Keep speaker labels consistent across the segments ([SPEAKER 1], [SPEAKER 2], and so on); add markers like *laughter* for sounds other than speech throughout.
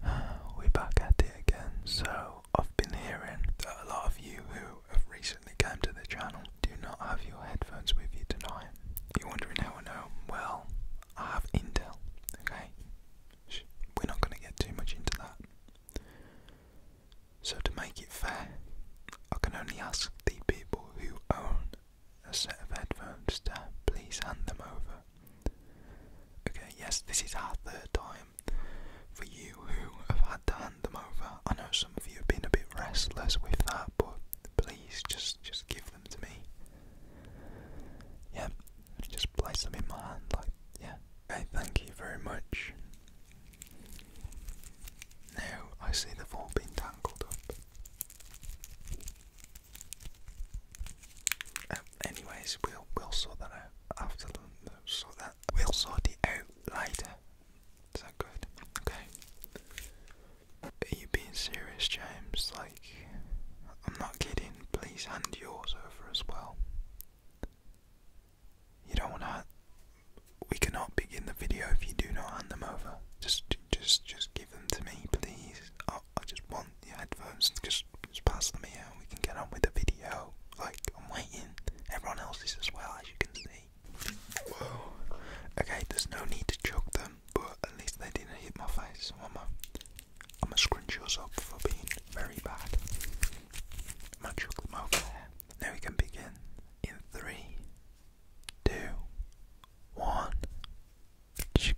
[SPEAKER 1] *sighs* We're back at it again. So, I've been hearing that a lot of you who have recently come to the channel do not have your headphones with you tonight. You're wondering how I know? Well, I have Intel, okay? We're not going to get too much into that. So, to make it fair, I can only ask the people who own a set of headphones to please hand them over Okay, yes, this is our third time. For you who have had to hand them over, I know some of you have been a bit restless with that, but please just just give them to me. Yeah, just place them in my hand, like yeah. Okay, thank you very much. Now I see they've all been tangled up anyways, we'll we'll sort that out after the sort that we'll sort it out later. Is that good? Okay. Are you being serious, James? Like, I'm not kidding. Please hand yours over as well. You don't want to. We cannot begin the video if you do not hand them over. Just, just, just give them to me, please. I, just want the headphones just, pass them here and we can get on with the video. Like, I'm waiting. Everyone else is as well, as you can see. Okay, there's no need to choke them, but at least they didn't hit my face. So I'm going to scrunch yours up for being very bad. I'm them over there. Now we can begin in three, two, one. Ch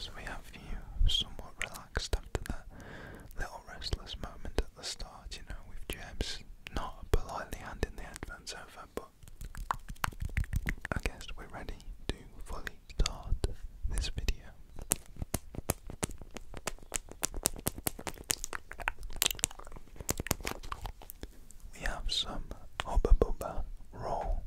[SPEAKER 1] So we have you somewhat relaxed after that little restless moment at the start, you know, with Jeb's not politely handing the headphones over, but I guess we're ready to fully start this video. We have some Hubba Bubba roll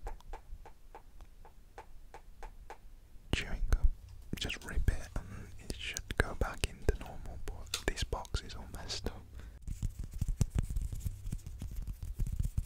[SPEAKER 1] Just rip it and it should go back into normal, but this box is all messed up.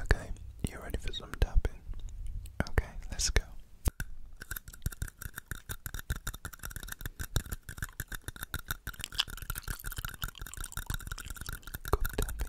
[SPEAKER 1] Okay, you ready for some tapping? Okay, let's go. Good tapping.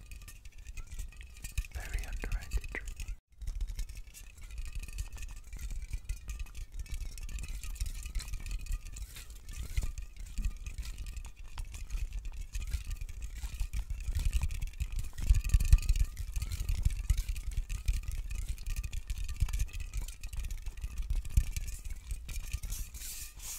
[SPEAKER 1] Very underrated tree.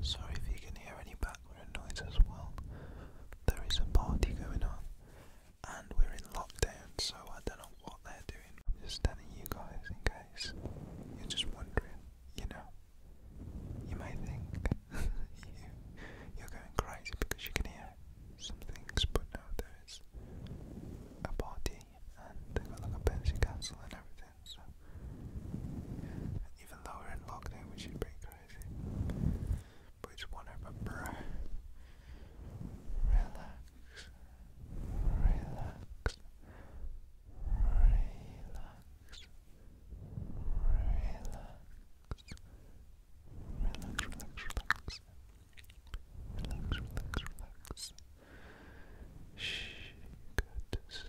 [SPEAKER 1] Sorry if you can hear any background noise as well. There is a party going on, and we're in lockdown, so I don't know what they're doing. I'm just telling you guys in case you're just wondering, you know. You may think *laughs* you, are going crazy because you can hear some things, but no, there is a party and they got like a pension council and everything. So even though we're in lockdown, which is pretty crazy, but it's one of relax, relax. Relax, relax, relax, relax, relax, relax, relax. Shh, go sleep.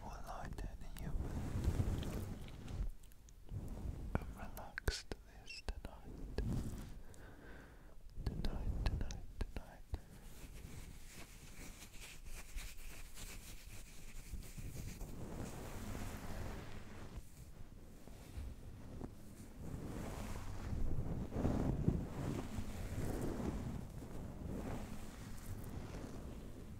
[SPEAKER 1] more lighter than you I'm relaxed this Tonight, tonight, tonight. Tonight,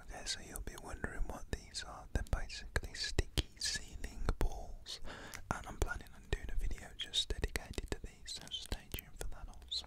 [SPEAKER 1] Okay, so you'll be wondering what these are. They're basically sticky ceiling balls, and I'm planning on doing a video just dedicated to these, so stay tuned for that also.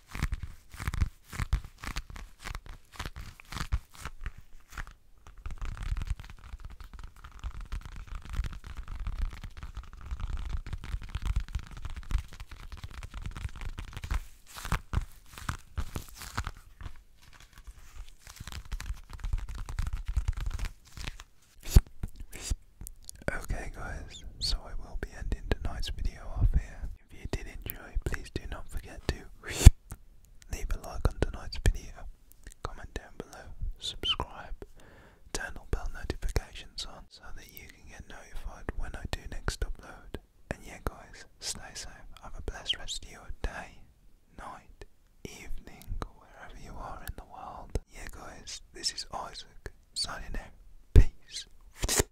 [SPEAKER 1] Okay, guys, so I will be ending tonight's video off here. If you did enjoy, please do not forget to *laughs* leave a like on tonight's video, comment down below, subscribe, turn on bell notifications on so that you can get notified when I do next upload. And yeah guys, stay safe, have a blessed rest of your day, night, evening, wherever you are in the world. Yeah guys, this is Isaac, signing out. Peace.